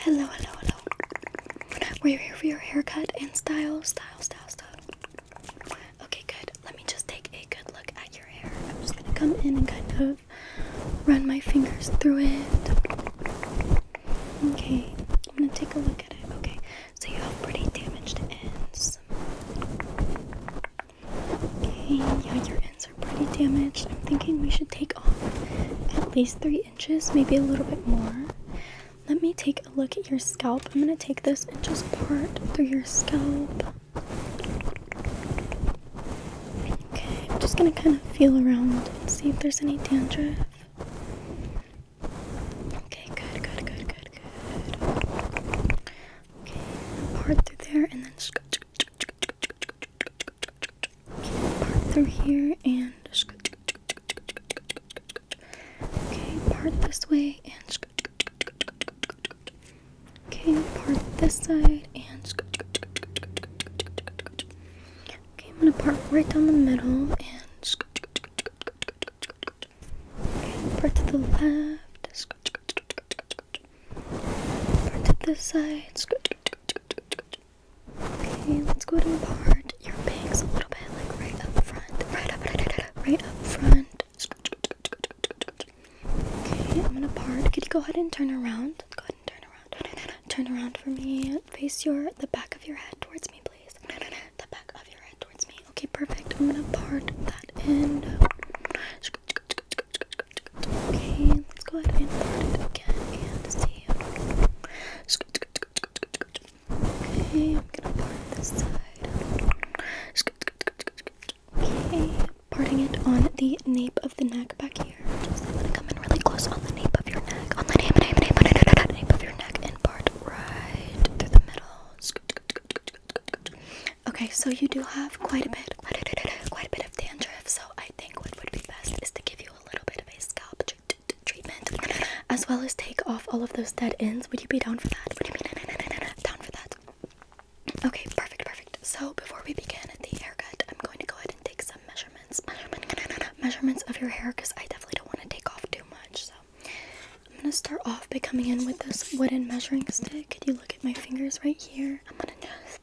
Hello, hello, hello. We're here for your haircut and style, style, style, style. Okay, good. Let me just take a good look at your hair. I'm just gonna come in and kind of run my fingers through it. Okay, I'm gonna take a look at it. Okay, so you have pretty damaged ends. Okay, yeah, your ends are pretty damaged. I'm thinking we should take off at least three inches, maybe a little bit more. Let me take a look at your scalp. I'm going to take this and just part through your scalp. Okay, I'm just going to kind of feel around and see if there's any dandruff. Okay, good, good, good, good, good. Okay, part through there and then part through here and okay, part this way and okay, part this side and okay, I'm gonna part right down the middle and Okay, part to the left. Part to this side. Okay, let's go to part your bangs a little bit, like right up front, right up, right up, right up front. Okay, I'm gonna part. Could you go ahead and turn around? Go ahead and turn around. Turn around for me. Face your the back of your head towards me, please. The back of your head towards me. Okay, perfect. I'm gonna part that in. Okay, let's go ahead and put it again and see. Okay, I'm gonna part this side. Okay, parting it on the nape of the neck back here. I'm gonna come in really close on the nape of your neck. On the nape, nape, nape, nape, nape, of your neck and part right through the middle. Okay, so you do have quite a bit, quite a bit of dandruff, so I think what would be best is to give you a little bit of a scalp treatment as well as take off all of those dead ends. Would you be down for that? down for that? Okay, perfect, perfect. So before we begin the haircut, I'm going to go ahead and take some measurements. Measurements of your hair because I definitely don't want to take off too much. So I'm gonna start off by coming in with this wooden measuring stick. Could you look at my fingers right here? I'm gonna just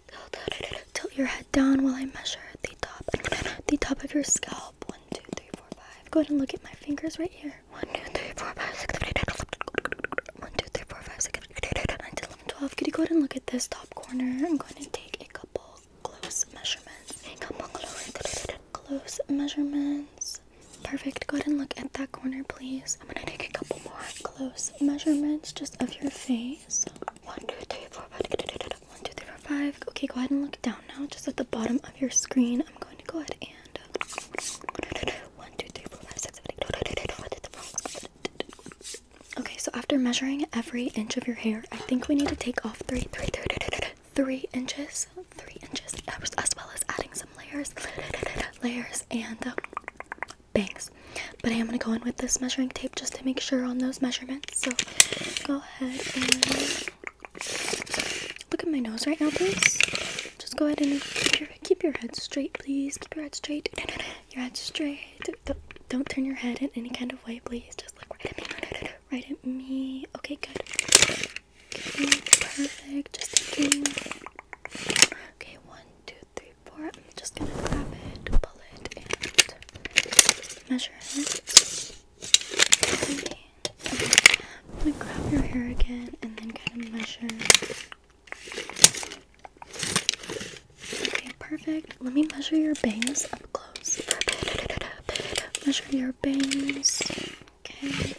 Tilt your head down while I measure the top, the top of your scalp. One, two, three, four, five. Go ahead and look at my fingers right here. One, two, three, four, five, six, seven, eight. One, two, three, four, five, six, seven, eight, nine, 10, 11, 12. you go ahead and look at this top corner? I'm going to take a couple close measurements. close measurements. Perfect. Go ahead and look at that corner, please. I'm gonna take a couple more close measurements just of your face. Okay, one, two, three, four, five. Okay, go ahead and look down now. Just at the bottom of your screen, I'm going to go ahead and Okay, so after measuring every inch of your hair, I think we need to take off three, three, three, three inches, three inches, as well as adding some layers, layers, and uh, bangs. But I am gonna go in with this measuring tape just to make sure on those measurements. So go ahead and look at my nose right now, please. Just go ahead and keep your, keep your head straight, please. Keep your head straight. Your head straight. Don't, don't turn your head in any kind of way, please. Just look right at me. Right at me. Okay, good. perfect. Just Okay, one, two, three. I'm just gonna grab it, pull it, and measure it. I'm gonna grab your hair again and then kind of measure. Okay, perfect. Let me measure your bangs up close. Measure your bangs. Okay.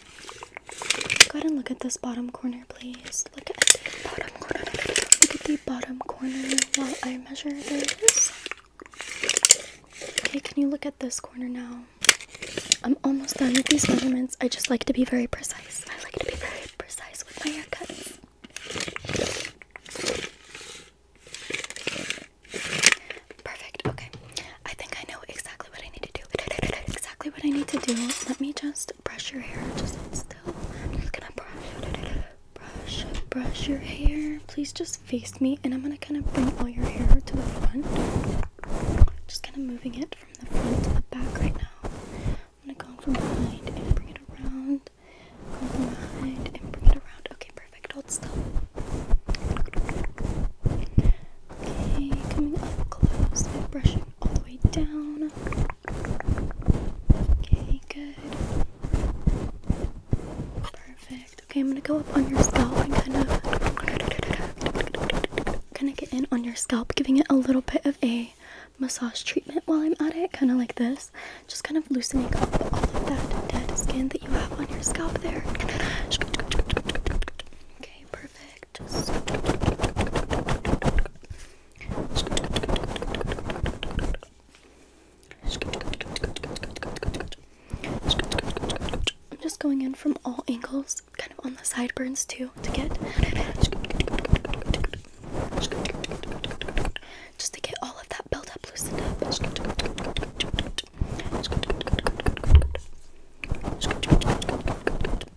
Go ahead and look at this bottom corner, please. Look at the bottom look at the bottom corner while I measure this. Okay, can you look at this corner now? I'm almost done with these measurements. I just like to be very precise. I like to be very precise with my haircut. Perfect. Okay. I think I know exactly what I need to do. Exactly what I need to do. Let me just brush your hair just still. I'm just gonna brush brush, brush your hair. Please just face me, and I'm gonna kind of bring all your hair to the front. Just kind of moving it from the front to the back right now. I'm gonna come from behind and bring it around. Go from behind and bring it around. Okay, perfect. Hold still. Okay, coming up close and brushing all the way down. Okay, good. Perfect. Okay, I'm gonna go up on your scalp and kind of kind of get in on your scalp, giving it a little bit of a massage treatment while I'm at it, kind of like this. Just kind of loosening up all of that dead skin that you have on your scalp there. Okay, perfect. I'm just going in from all angles, kind of on the sideburns too, to get just to get all of that build loosened up.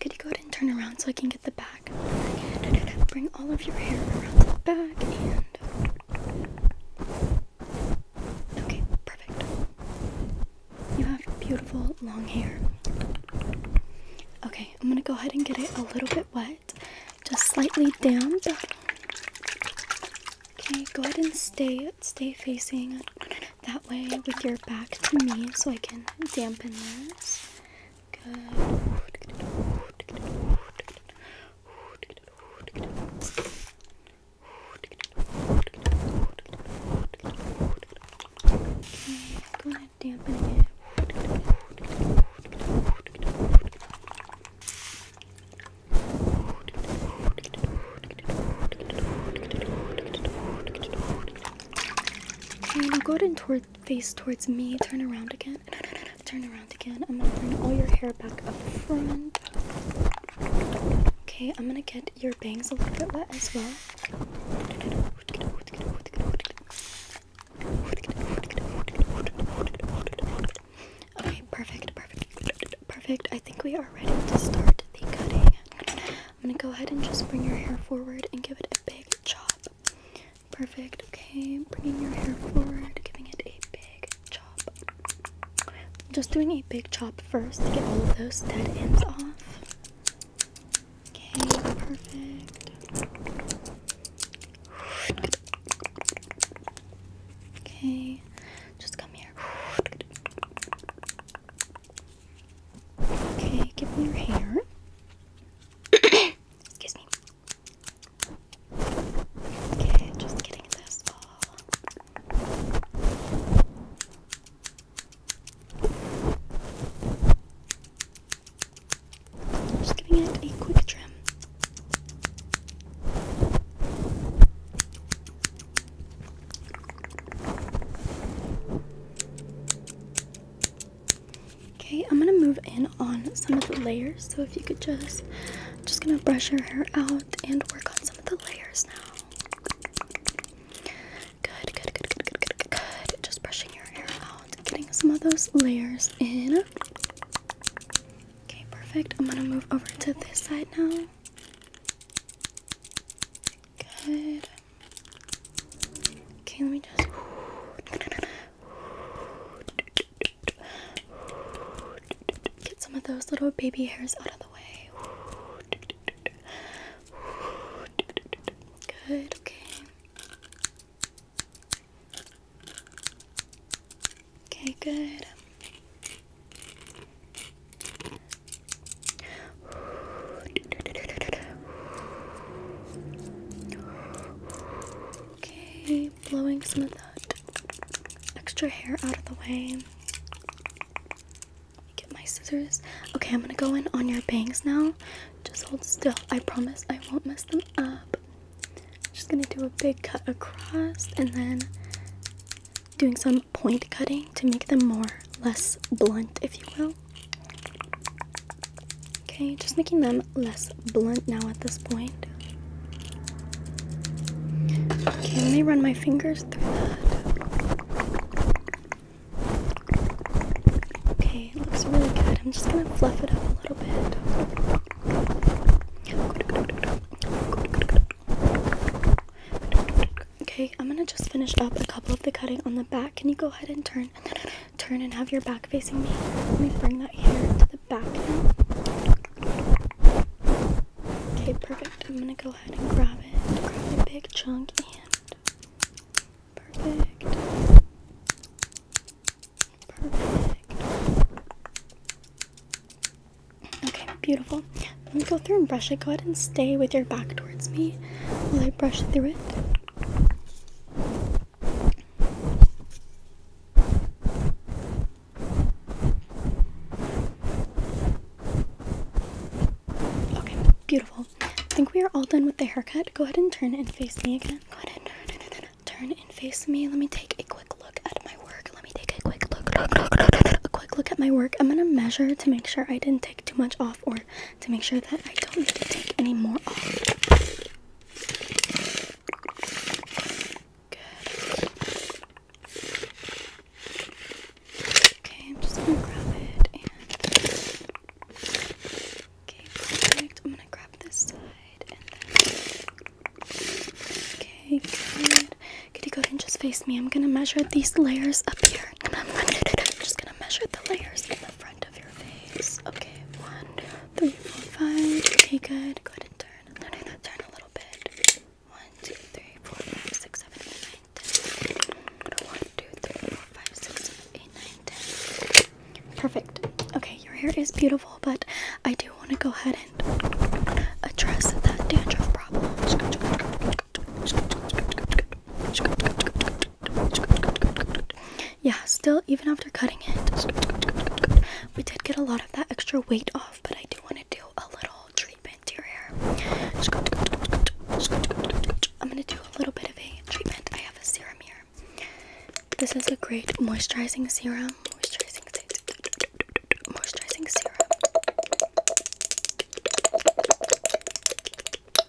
Could you go ahead and turn around so I can get the back? Bring all of your hair around the back Okay, perfect. You have beautiful long hair. Okay, I'm gonna go ahead and get it a little bit wet, just slightly damp. Okay, go ahead and stay stay facing that way with your back to me so I can dampen this. go ahead dampen it. Okay, now go ahead and toward, face towards me. Turn around again. No, no, no, no. Turn around again. I'm gonna bring all your hair back up front. Okay, I'm gonna get your bangs a little bit wet as well. Okay, perfect, perfect, perfect. I think we are ready to start the cutting. I'm gonna go ahead and just bring your hair forward and give it a big chop. Perfect, okay. Bringing your hair forward, giving it a big chop. Just doing a big chop first to get all of those dead ends off. Okay, perfect. Okay, just come here. Okay, give me your hair. Excuse me. Okay, just getting this all. Just giving it a quick trim. Okay, I'm gonna move in on some of the layers. So if you could just, just gonna brush your hair out and work on some of the layers now. Good, good, good, good, good, good, good. Just brushing your hair out, getting some of those layers in. Okay, perfect. I'm gonna move over to this side now. Good. Okay, let me just. Get some of those little baby hairs out of the way. Good, okay. Okay, good. Okay, blowing some of that extra hair out of the way. Get my scissors. Okay, I'm gonna go in on your bangs now. Just hold still. I promise I won't mess them up. Just gonna do a big cut across and then doing some point cutting to make them more less blunt, if you will. Okay, just making them less blunt now at this point. Can I run my fingers through that. Okay, it looks really good. I'm just gonna fluff it up a little bit. Okay, I'm gonna just finish up a couple of the cutting on the back. Can you go ahead and turn, turn, and have your back facing me? Let me bring that hair to the back now. Okay, perfect. I'm gonna go ahead and grab it, grab a big chunk, and perfect, perfect, Okay, beautiful. Let me go through and brush it. Go ahead and stay with your back towards me while I brush through it. Okay, beautiful. I think we are all done with the haircut. Go ahead and turn and face me again. Go ahead and turn and face me. Let me take a quick look at my work let me take a quick look, a quick look at my work. I'm gonna measure to make sure I didn't take too much off or to make sure that I don't need to take any more off. Okay, I'm just gonna grab it okay, perfect. I'm gonna grab this side okay, good. Kitty, go and just face me. I'm gonna measure these layers up here. just gonna measure the layers in the front of your face. Okay, one, two, three, four, five. Okay, good. Go ahead and turn. Turn a little bit. One, two, three, four, five, six, seven, eight, nine, ten. One, two, three, four, five, six, seven, eight, nine, ten. Perfect. Okay, your hair is beautiful, but I do want to go ahead address that dandruff problem. Yeah, still, even after cutting it, we did get a lot of that extra weight off, but I do want to do a little treatment here. I'm going to do a little bit of a treatment. I have a serum here. This is a great moisturizing serum. Moisturizing moisturizing serum.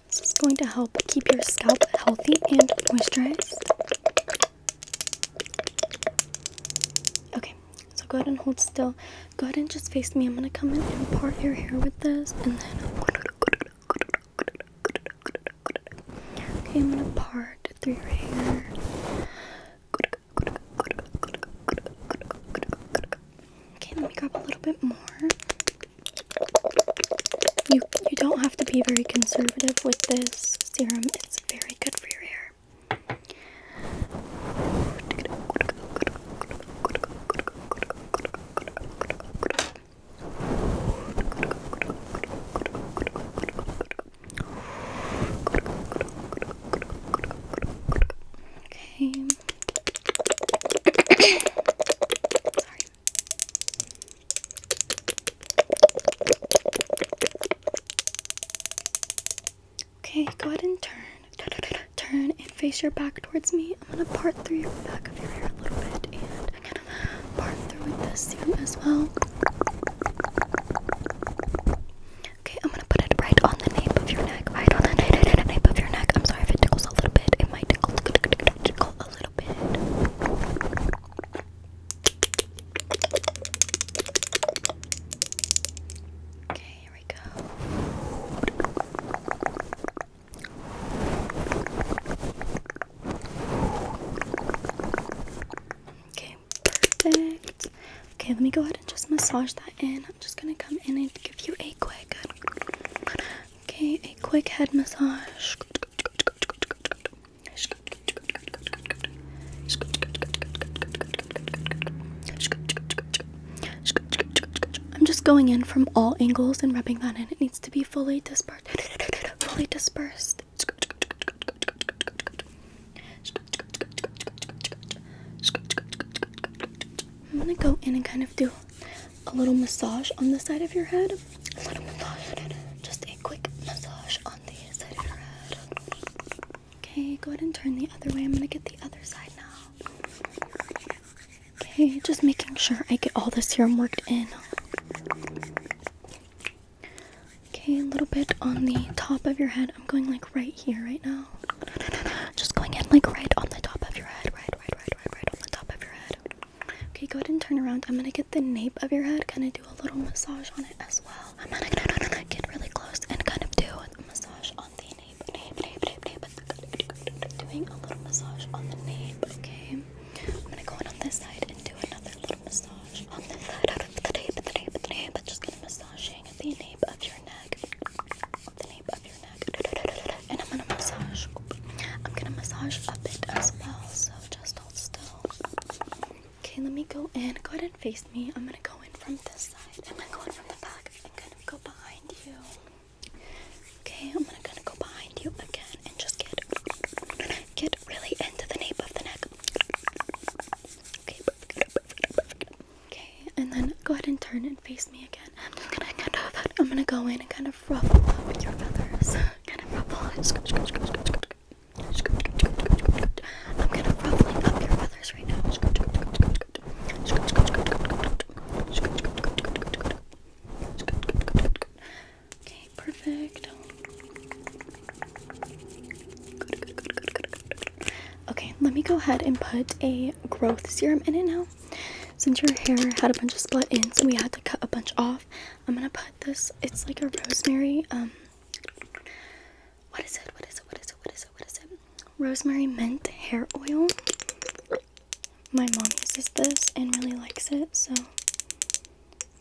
This is going to help keep your scalp healthy and moisturized. Okay, so go ahead and hold still. Go ahead and just face me. I'm gonna come in and part your hair with this, and then. Okay, I'm gonna part through your hair. Good, Okay, let me grab a little bit more. You you don't have to be very conservative with this serum. It's very good for your hair. Okay. Okay, go ahead and turn. Turn and face your back towards me. I'm gonna part through your back of your hair a little bit and part through with this serum as well. Okay, I'm gonna put it right on the nape of your neck. Right on the nape of your neck. I'm sorry if it tickles a little bit. It might tickle, tickle a little bit. Okay, here we go. Okay, perfect. Okay, let me go ahead and just massage that in. I'm just gonna come in and give you a quick, okay, a quick head massage. I'm just going in from all angles and rubbing that in. It needs to be fully dispersed. Fully dispersed. I'm gonna go in and kind of do a little massage on the side of your head. Just a quick massage on the side of your head. Okay, go ahead and turn the other way. I'm gonna get the other side now. Okay, just making sure I get all the serum worked in. Okay, a little bit on the top of your head. I'm going like right here right now. Just going in like right on the top of your head. Right, right, right, right, right on the top of your head. Okay, go ahead and turn around. I'm gonna get the nape of your head, kind of do a little massage on it as well. I'm gonna get really close and kind of do a massage on the nape, nape, nape, nape, nape. Doing a little massage on the nape, okay? I'm gonna go in on this side and do another little massage on the side of the nape, the nape, nape. Just gonna massage touching the nape of your neck. And I'm gonna massage. I'm gonna massage a bit as well, so just hold still. Okay, let me go in. Go ahead and face me. I'm gonna go in from this side. I'm gonna go in from the back. I'm gonna go behind you. Okay, I'm gonna go behind you again and just get get really into the nape of the neck. Okay, Okay, and then go ahead and turn and face me again. I'm gonna kind of, I'm gonna go in and kind of ruffle up your feathers. I'm kind of ruffling up your feathers right now. Okay, perfect. Okay, let me go ahead and put a growth serum in it now. Since your hair had a bunch of split ends and we had to cut a bunch off, I'm gonna put this. It's like a rosemary. Um, what is it? What is it? What is it? What is it? What is it? Rosemary mint hair oil. My mom uses this and really likes it, so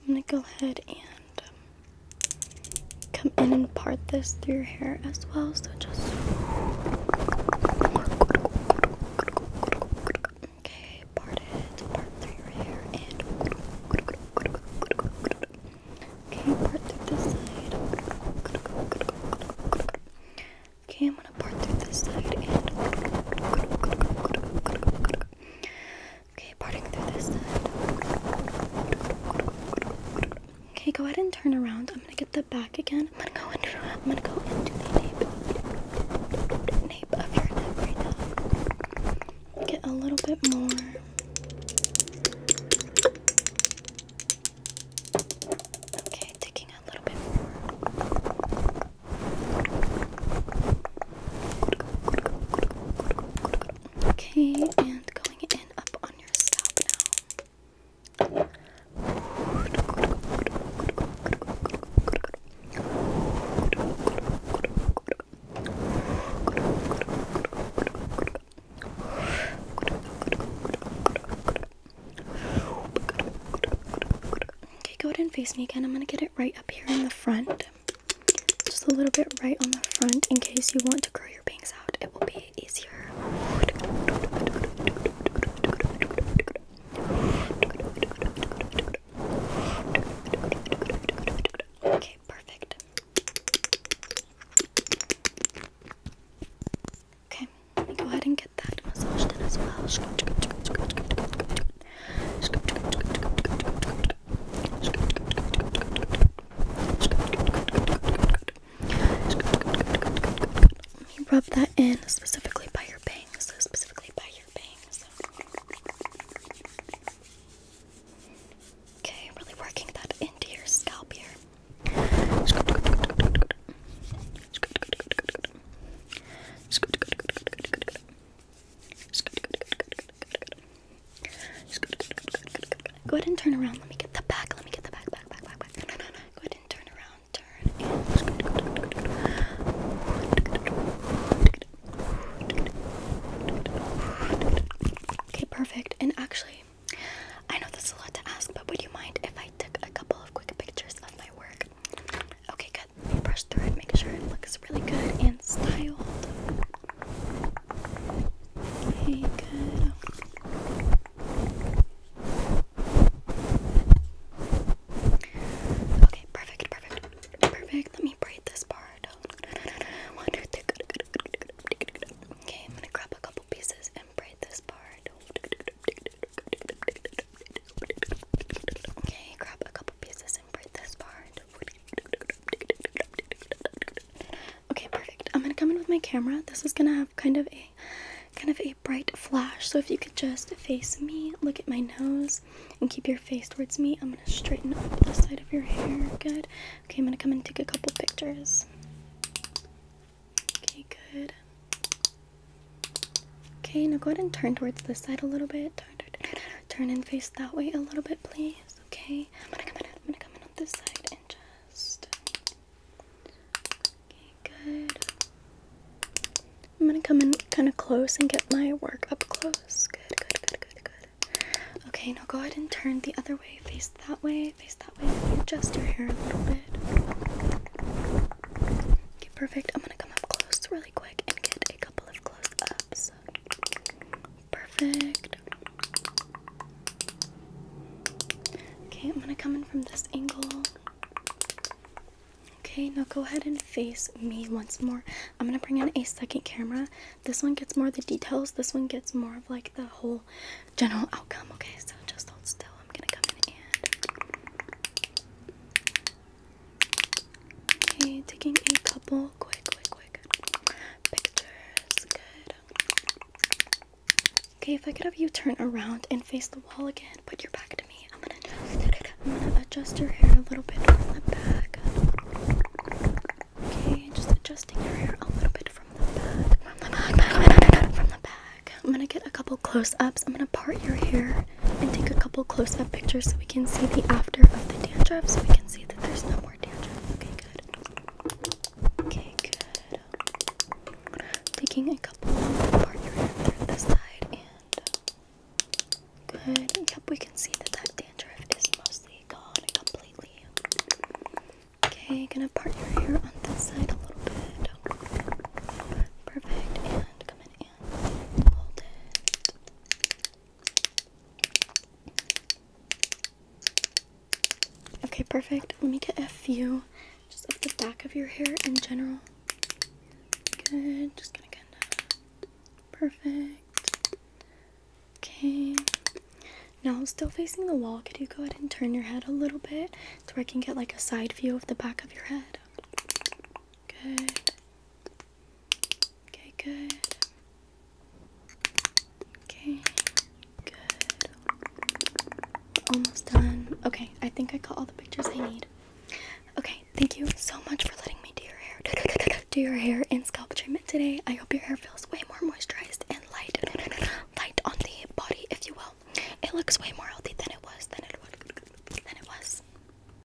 I'm gonna go ahead and come in and part this through your hair as well. So just. Okay, part it, part through your hair, Okay, part through this side. Okay, I'm gonna part through this side and. Okay, parting through this Okay, go ahead and turn around. I'm gonna get the back again. I'm gonna go into I'm gonna go into the nape, of your neck right now. Get a little bit more. Okay, taking a little bit Okay, and going in up on your scalp now. Okay, go ahead and face me again. I'm gonna get it right up here in the front just a little bit right on the front in case you want to grow your bangs out. It will be easier. Okay, perfect. Okay, go ahead and get that let me rub that in specifically by your bangs, specifically by your bangs. Okay, I'm really working that into your scalp here. Go ahead and turn around. Let me get the back. Let me get the back, back, back, back, back. Go ahead and turn around. Turn Okay, perfect. And actually, I know that's a lot to ask, but would you mind if I took a couple of quick pictures of my work? Okay, good. Brush through it. Make sure it looks really good and styled. Okay, perfect, perfect, perfect. Let me braid this part. Okay, I'm gonna grab a couple pieces and braid this part. Okay, grab a couple pieces and braid this part. Okay, perfect. I'm gonna come in with my camera. This is gonna have kind of a kind of a bright flash. So if you could just face me, look at my nose, and keep your face towards me. I'm gonna straighten up the side of your hair. Good. Okay, I'm gonna come and take a couple pictures. Okay, good. Okay, now go ahead and turn towards this side a little bit. turn, turn, turn and face that way a little bit, please okay? I'm gonna come in, I'm gonna come in on this side and just. Okay, good. I'm gonna come in kind of close and get my work up close. Good, good, good, good, good. Okay, now go ahead and turn the other way. Face that way, face that way. Adjust your hair a little bit. Okay, perfect. I'm gonna come up close really quick and get a couple of close ups. Perfect. Okay, I'm gonna come in from this angle. Okay, now go ahead and face me once more. I'm gonna bring in a second camera. This one gets more of the details, this one gets more of like the whole general outcome. Okay, so just hold still. I'm gonna come in and Okay, taking a couple quick, quick, quick pictures. Okay, if I could have you turn around and face the wall again, put your back to me. I'm gonna adjust, I'm gonna adjust your hair a little bit from the back. Okay, just adjusting your hair a little bit from the back. From the back, from the back. I'm gonna get a couple close ups. I'm gonna part your hair and take a couple close up pictures so we can see the after of the dandruff so we can see that there's no more dandruff. Okay, good. Okay, good. Taking a couple apart your hair through this side and good. Yep, we can see that that dandruff is mostly gone completely. Okay, gonna part your hair on this side a little bit. Perfect. And come in and hold it. Okay, perfect. Let me get a few just of the back of your hair in general. Good. Just gonna kind of perfect. Okay. Now, still facing the wall, could you go ahead and turn your head a little bit so I can get like a side view of the back of your head? Good. Okay, good. Okay, good. Almost done. Okay, I think I got all the pictures I need. Okay, thank you so much for letting me do your hair. Do your hair and scalp treatment today. I hope your hair feels way more moisturized and light. Light on the body, if you will. It looks way more healthy than it was, than it was, than it was.